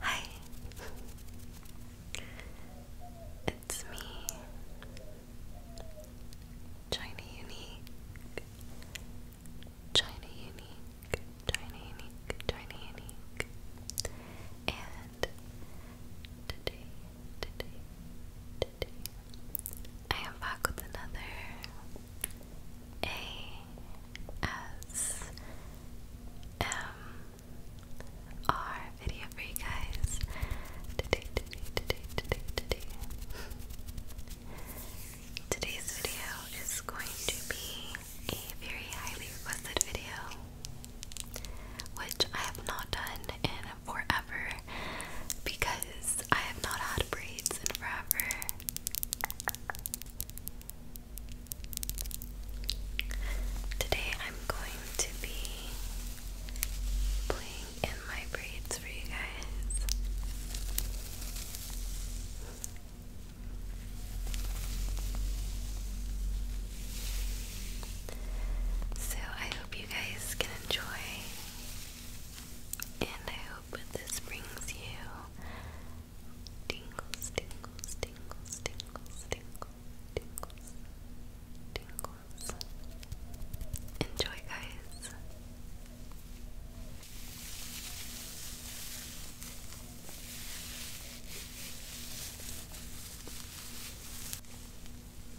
Hi, it's me, China Unique, China Unique, China Unique, China Unique, and today, today, I am back with another ASMR video for you guys today, today, today, today, today Today's video is going to be a very highly requested video which I have not done in forever because I have not had braids in forever. Today I'm going to be playing in my braids for you guys. So I hope you guys can enjoy. And I hope this brings you tingles, tingles, tingles, tingles, tingles, tingles, tingles. Enjoy, guys.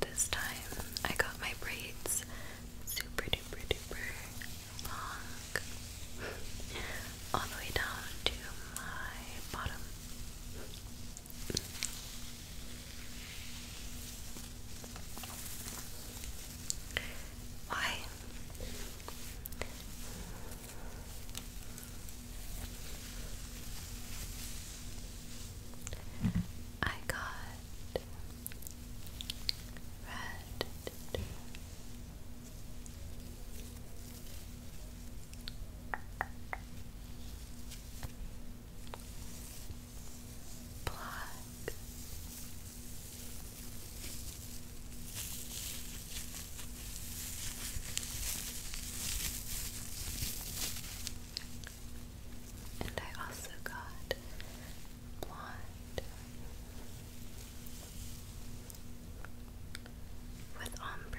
This time I got my braids super duper duper long all the way down to my bottom. Why? I got red. Blood back. And I also got blonde with ombre.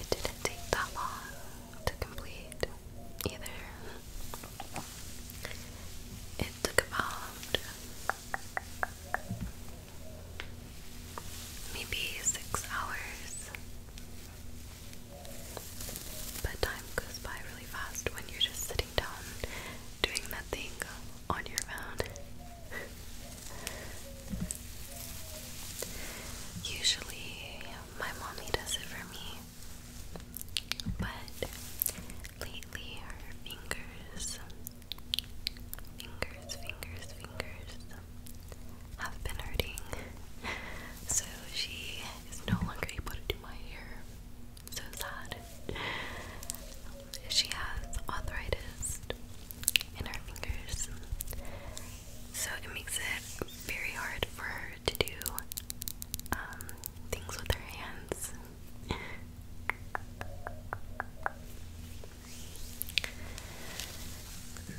It didn't take that long to complete either. It took about maybe six hours. But time goes by really fast when you're just sitting down doing nothing on your phone. Usually, my mommy does it for me, but lately her fingers, fingers, fingers, fingers have been hurting, so she is no longer able to do my hair. So sad she has arthritis in her fingers, so it makes it very hard for her to do um, things with her hands.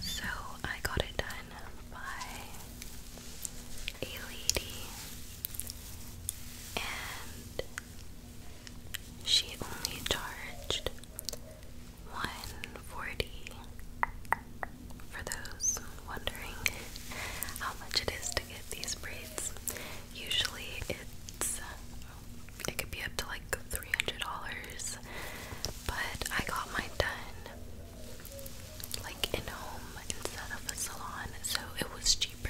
So I got it done by a lady, and she only charged one forty. For those wondering how much it is to get these braids, usually it's it could be up to like three hundred dollars. But I got mine done like in home instead of a salon, so it was cheaper.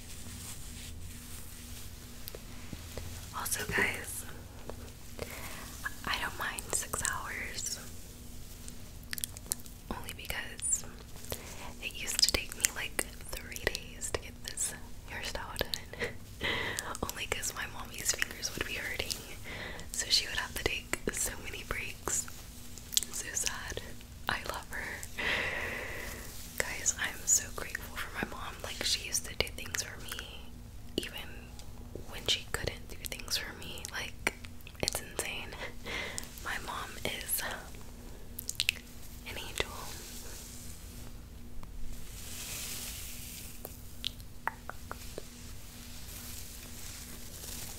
Also, guys, I don't mind six hours only because it used to take me like three days to get this hairstyle done. only because my mommy's fingers would be hurting, so she would have to take so many breaks. So sad. I love her. Guys, I'm so grateful for my mom. Like, she used to do things for me, even when she couldn't do things for me. Like, it's insane. My mom is an angel.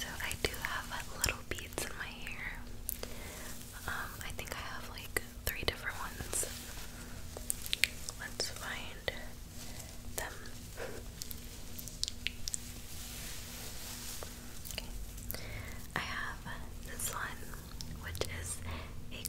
So I do have little beads in my hair. Um, I think I have like three different ones. Let's find them. I have this one, which is a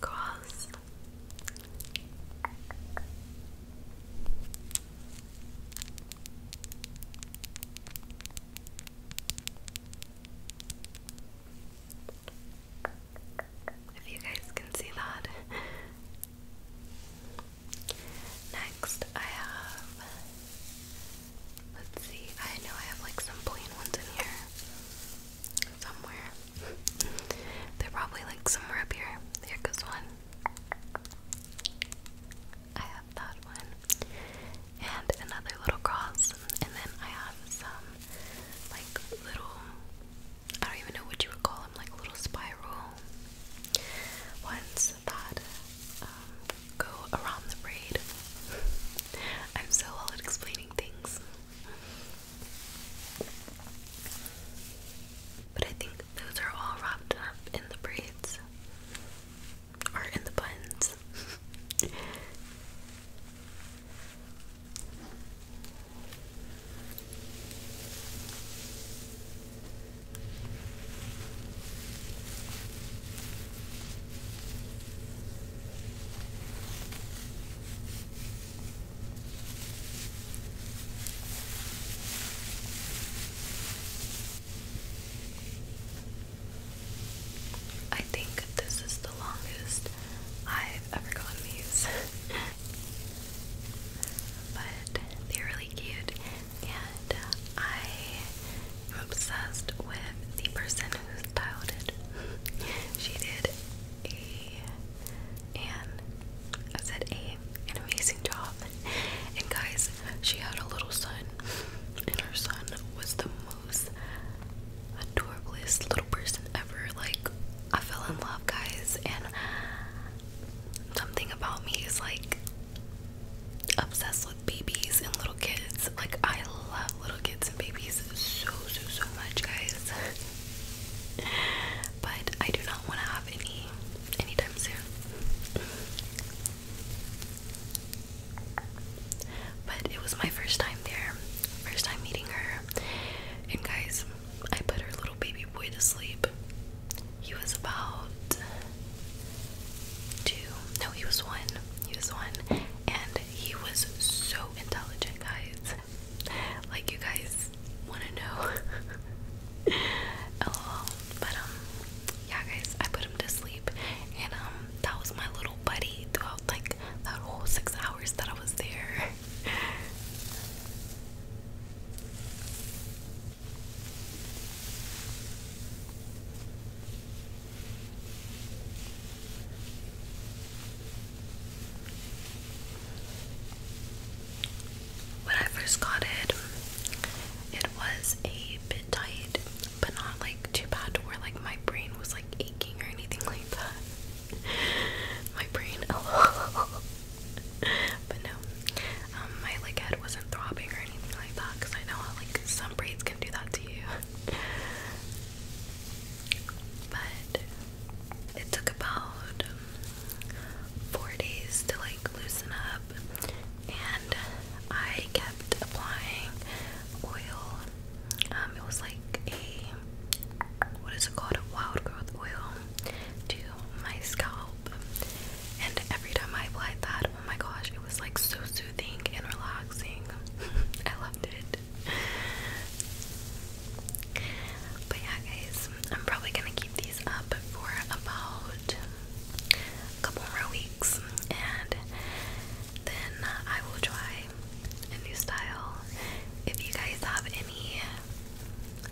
If you guys can see that, Next, I have. Let's see, I know I have like some plain ones in here. Somewhere. They're probably like somewhere up here. Here goes one. I have that one. And another little cross. And then I have some like little, I don't even know what you would call them, like little spiral ones. Um, go around the braid. I'm so well at explaining things. But I think those are all wrapped up in the braids or in the buns. I think this is the longest I've ever gotten these. but they're really cute and uh, I am obsessed with the person who styled it. she did a and I said a an amazing job. And guys, she had a little son, and her son was the most adorable little person ever. Like I fell in love, guys, and something about me is like obsessed with babies and little kids. Like I love little kids and babies so so so much, guys. but I do not want to have any anytime soon. But it was my first time there, first time meeting her, and guys, I put her little baby boy to sleep. He was about two. No, he was one. He was one. And he was so intelligent, guys. Like, you guys want to know. LOL. But, um, yeah, guys, I put him to sleep. And, um, that was my little buddy throughout, like, that whole six hours that I was there. When I first got it, it was a bit tight, but not like too bad to where like my brain was like aching or anything like that. My brain, oh, but no, um, my like head wasn't throbbing or anything like that because I know how like some can do that to you. but it took about four days to like loosen up, and I kept applying oil. Um, it was like a what is it called? wild growth oil to my scalp. And every time I applied that, oh my gosh, it was like so soothing and relaxing. I loved it. But yeah, guys, I'm probably gonna keep these up for about a couple more weeks, and then I will try a new style. If you guys have any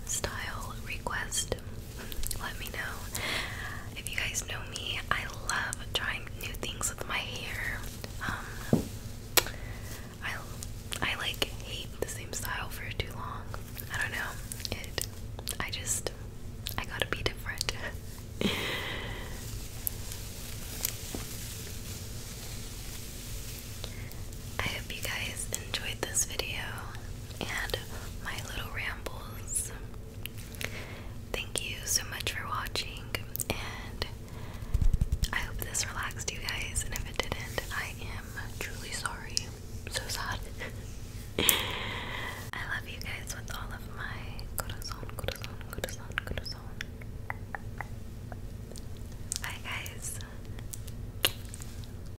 style request, let me know. If you guys know me, I love trying new things with my hair. Um, I I like hate the same style for too long. I don't know. It. I just. I gotta be different. I hope you guys enjoyed this video and my little rambles. Thank you so much for watching, and I hope this relaxed you guys. And if it didn't, I am truly sorry. so sad. I love you guys with all of my corazon, corazon, corazon, corazon. Bye, guys.